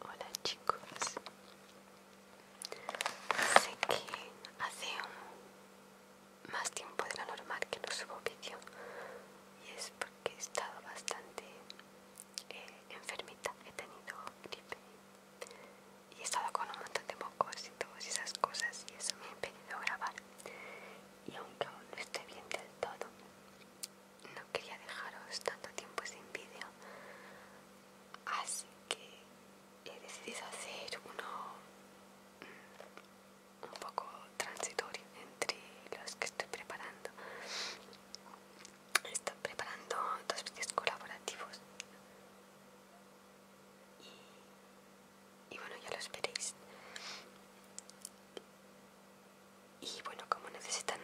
Hola chicos, sé que hace más tiempo de lo normal que no subo vídeo y es porque he estado bastante eh, enfermita, he tenido gripe y he estado con un montón de mocos y todas esas cosas y eso me ha impedido grabar y aunque aún no esté bien del todo, no quería dejaros tanto tiempo sin vídeo, así que he decidido hacer uno mm, un poco transitorio entre los que estoy preparando. Estoy preparando dos vídeos colaborativos y y bueno, ya lo esperéis. Y bueno, como necesitan,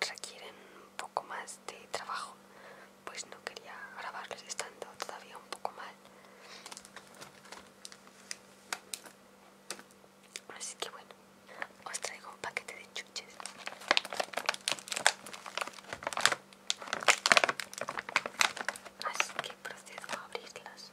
requieren un poco más de trabajo, pues no quería grabarlos estando todavía un poco mal. Así que bueno, os traigo un paquete de chuches. Así que procedo a abrirlas.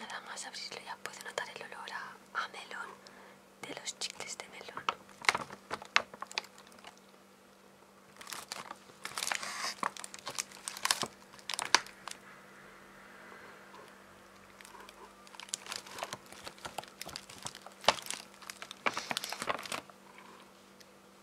Nada más abrirlo ya puedo notar el olor a, a melón de los chicles de melón.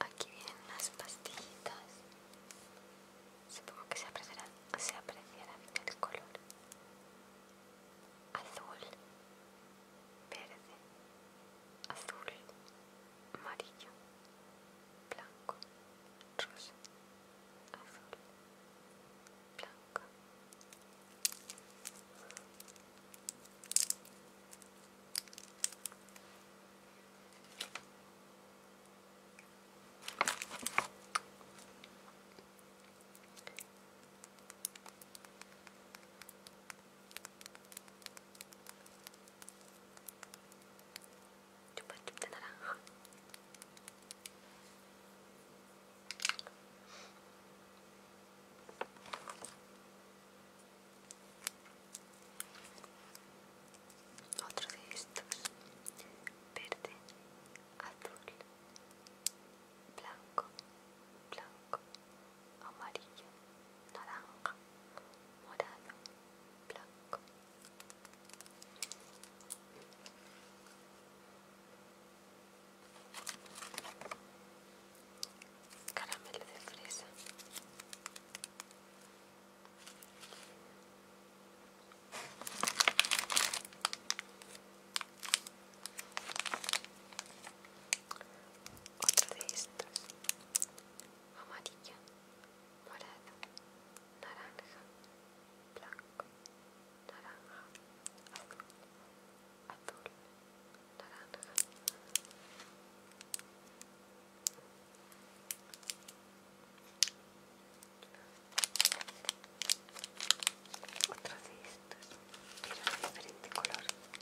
Aquí vienen las pastillitas. Supongo que se apreciarán, se apreciarán el color azul verde, azul, amarillo, blanco, rosa, azul, blanco de naranja otro de estos verde azul blanco blanco amarillo, naranja, morado, blanco. Caramelo de fresa. Otra de estos, Amarilla, morada, naranja, blanco, naranja, azul, azul, naranja. Otra de estas de diferente color más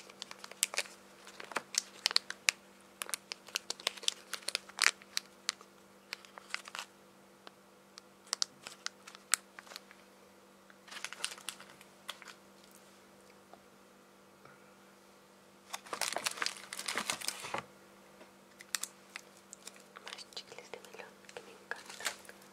chicles de melón que me encantan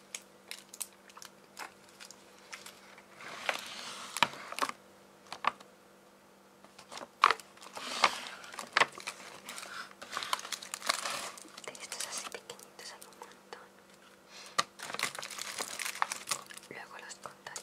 Textos así pequeñitos hay un montón. Luego los contaré.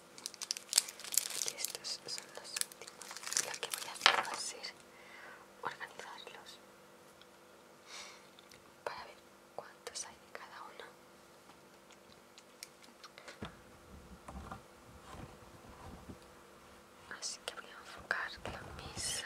estos son los últimos lo que voy a hacer va organizarlos para ver cuántos hay de cada uno así que voy a enfocar la mesa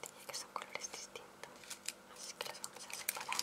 Tenía que son colores distintos, así que los vamos a separar.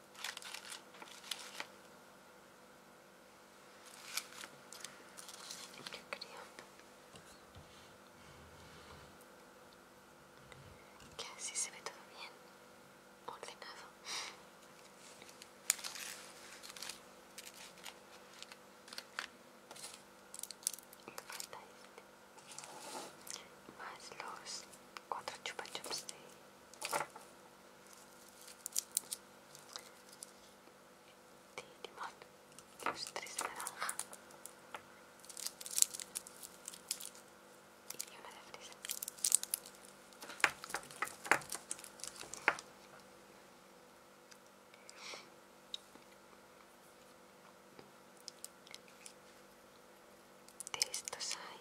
que así se ve todo bien, ordenado. Falta este. Más los cuatro chupa chups de de limón, los tres naranja y una de fresa. De estos hay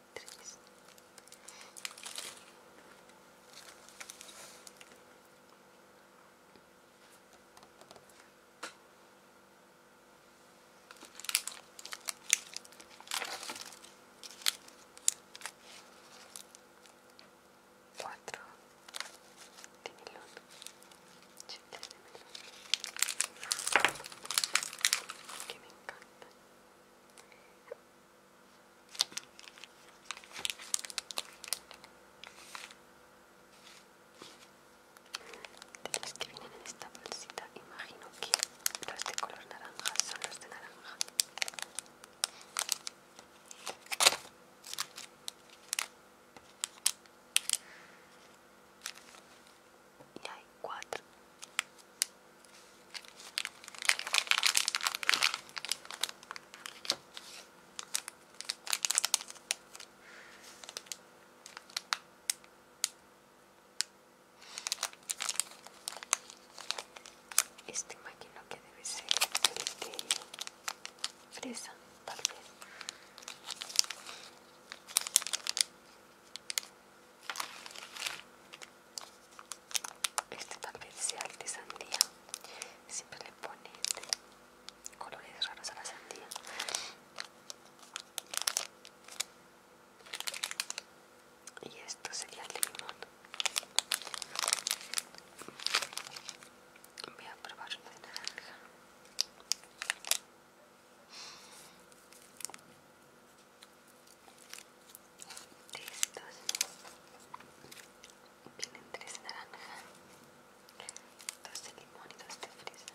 tres cuatro de melón chicles de melón que me encanta. De los que vienen en esta bolsita, imagino que los de color naranja son los de naranja y hay cuatro este imagino que debe ser el de fresa, tal vez este papel especial de sandía siempre le ponen este, colores raros a la sandía y esto sería el limón voy a probar una de naranja de estos vienen tres naranjas dos de limón y dos de fresa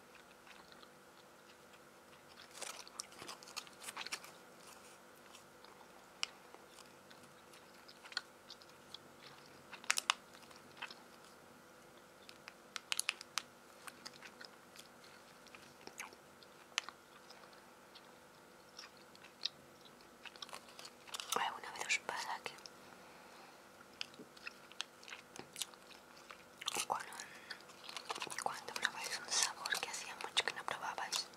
una vez os pasa que cuando probáis un sabor que hacía mucho que no probabais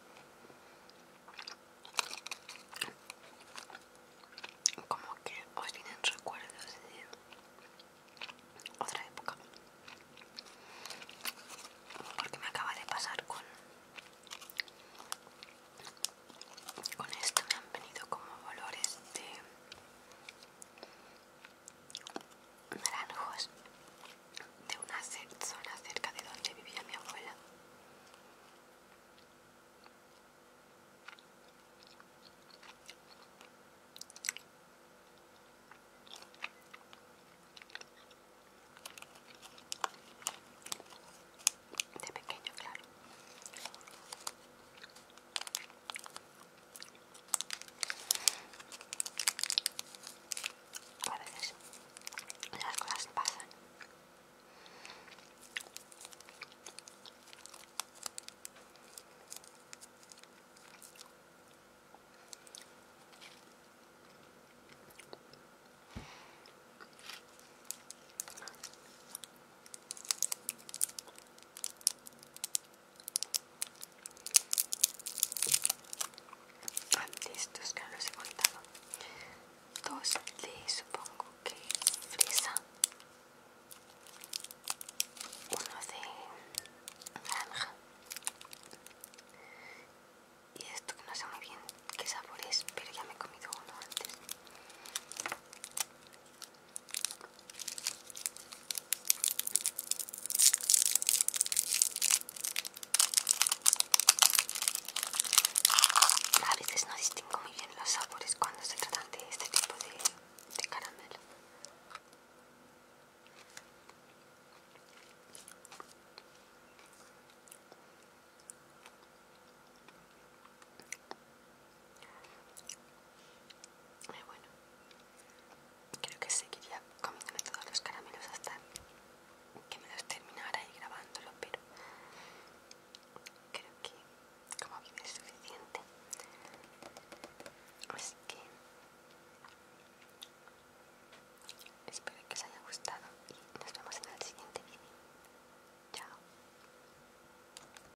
como que os vienen recuerdos de otra época porque me acaba de pasar con con esto me han venido como olores de naranjos de una zona cerca de donde vivía mi abuela. De pequeño, claro. A veces las cosas pasan. Ah, que no los he contado. Dos de supongo que fresa. Uno de naranja. Y esto que no sé muy bien qué sabor es, pero ya me he comido uno antes. A veces no distingo muy bien los sabores cuando se tratan de este tipo de, de caramelo. Eh, bueno, creo que seguiría comiendo todos los caramelos hasta que me los terminara y grabándolo, pero creo que como vive es suficiente. Así que espero que os haya gustado y nos vemos en el siguiente vídeo. Chao.